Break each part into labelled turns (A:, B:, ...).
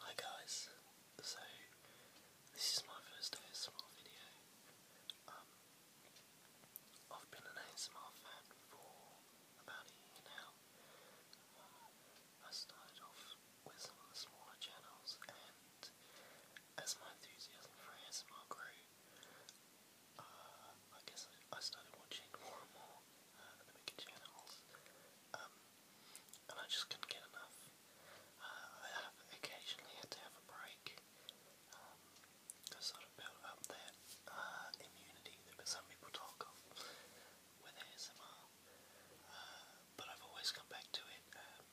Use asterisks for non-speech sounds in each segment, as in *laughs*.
A: Hi guys, so this is my first ASMR video. Um, I've been an ASMR fan for about a year now. Uh, I started off with some of the smaller channels and as my enthusiasm for ASMR grew, uh, I guess I, I started watching more and more uh, the Mickey channels, um, and I just couldn't get enough. Uh, I occasionally had to have a break to sort of build up that uh, immunity that some people talk of with ASMR, uh, but I've always come back to it. Um,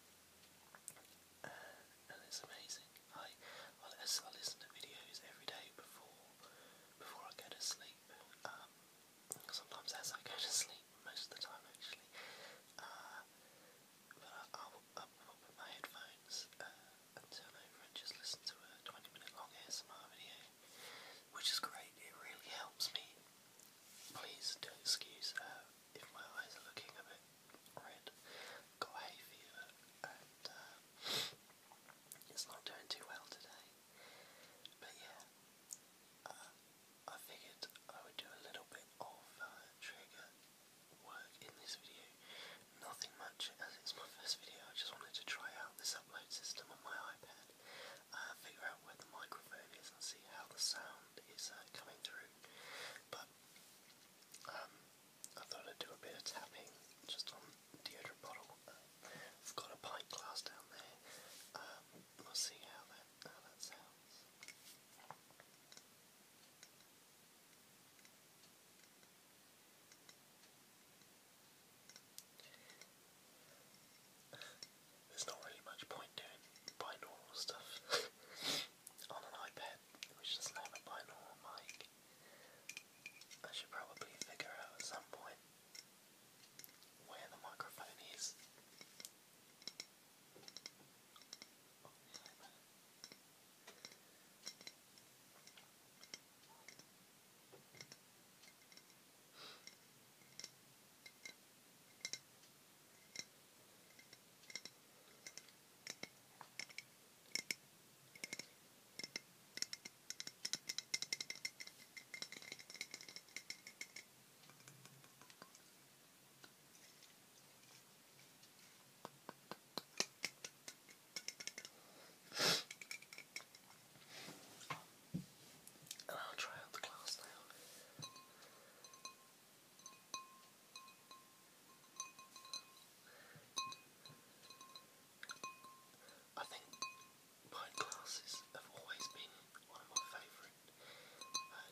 A: and it's amazing. I, I, listen to videos every day before before I go to sleep. Um, sometimes as I go to sleep, most of the time actually. Uh, I, will put my headphones and uh, turn over and just listen to a 20 minute long ASMR video, which is great, it really helps me. Please do excuse uh, if my eyes are looking a bit red. Got hay fever uh, it's not doing too well today. But yeah, uh, I figured I would do a little bit of uh, trigger work in this video. Nothing much, as it's my first video, I just wanted to try out this upload system on my iPad, uh, figure out where the microphone is and see how the sound is coming through. But um, I thought I'd do a bit of tapping just on deodorant bottle. I've got a pint glass down there. Um, we'll see how that how that sounds. There's not really much point doing binaural stuff. *laughs* on an iPad, which doesn't have a binaural mic. I should probably figure out at some point where the microphone is. And I'll try out the glass now. I think pint glasses have always been one of my favourite uh,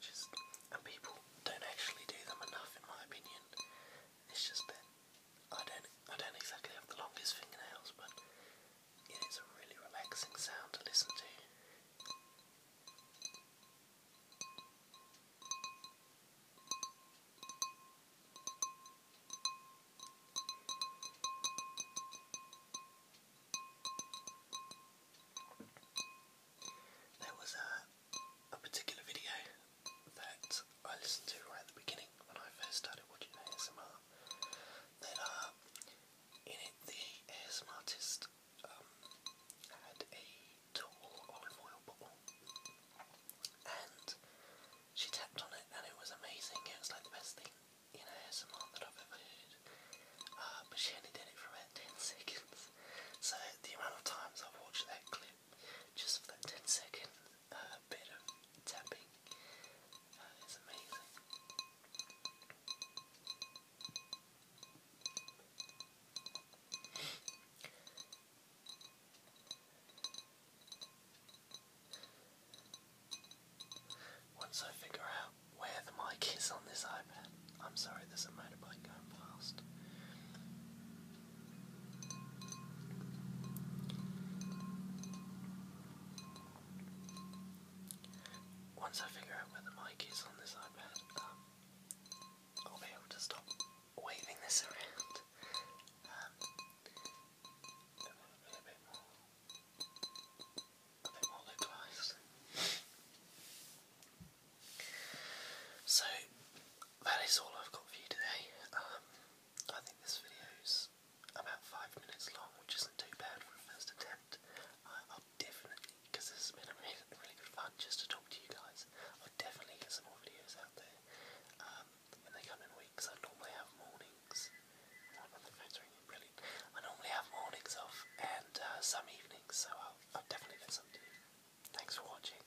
A: Just and people don't actually do them enough, in my opinion. It's just that I don't I don't exactly have the longest fingernails, but it is a really relaxing sound to listen to. There was a, particular video that I listened to right at the beginning when I first started watching ASMR that uh, in it, the ASM had a tall olive oil bottle and she tapped on it and it was amazing. It was like the best thing in ASMR that I've ever heard. Uh, but she only did it for about 10 *laughs* seconds. So the amount of times I've watched that clip just that 10 second uh, bit of tapping that is amazing. Once I figure out where the mic is on this iPad, I'm sorry, there's a motorbike going past. Once I figure out where the mic is on this iPad, um, I'll be able to stop waving this around um, a bit more, a bit more localized. so that is all I've got for you today. Um, I think this video's about five minutes long, which isn't too bad for a first attempt. I, will definitely, because has been really, really fun just to talk to you guys, I'll definitely get some more videos out there. Um, and they come in weeks. I normally have mornings. my phone's brilliant. I normally have mornings off and uh, some evenings, so I'll, I'll definitely get some to you. Thanks for watching.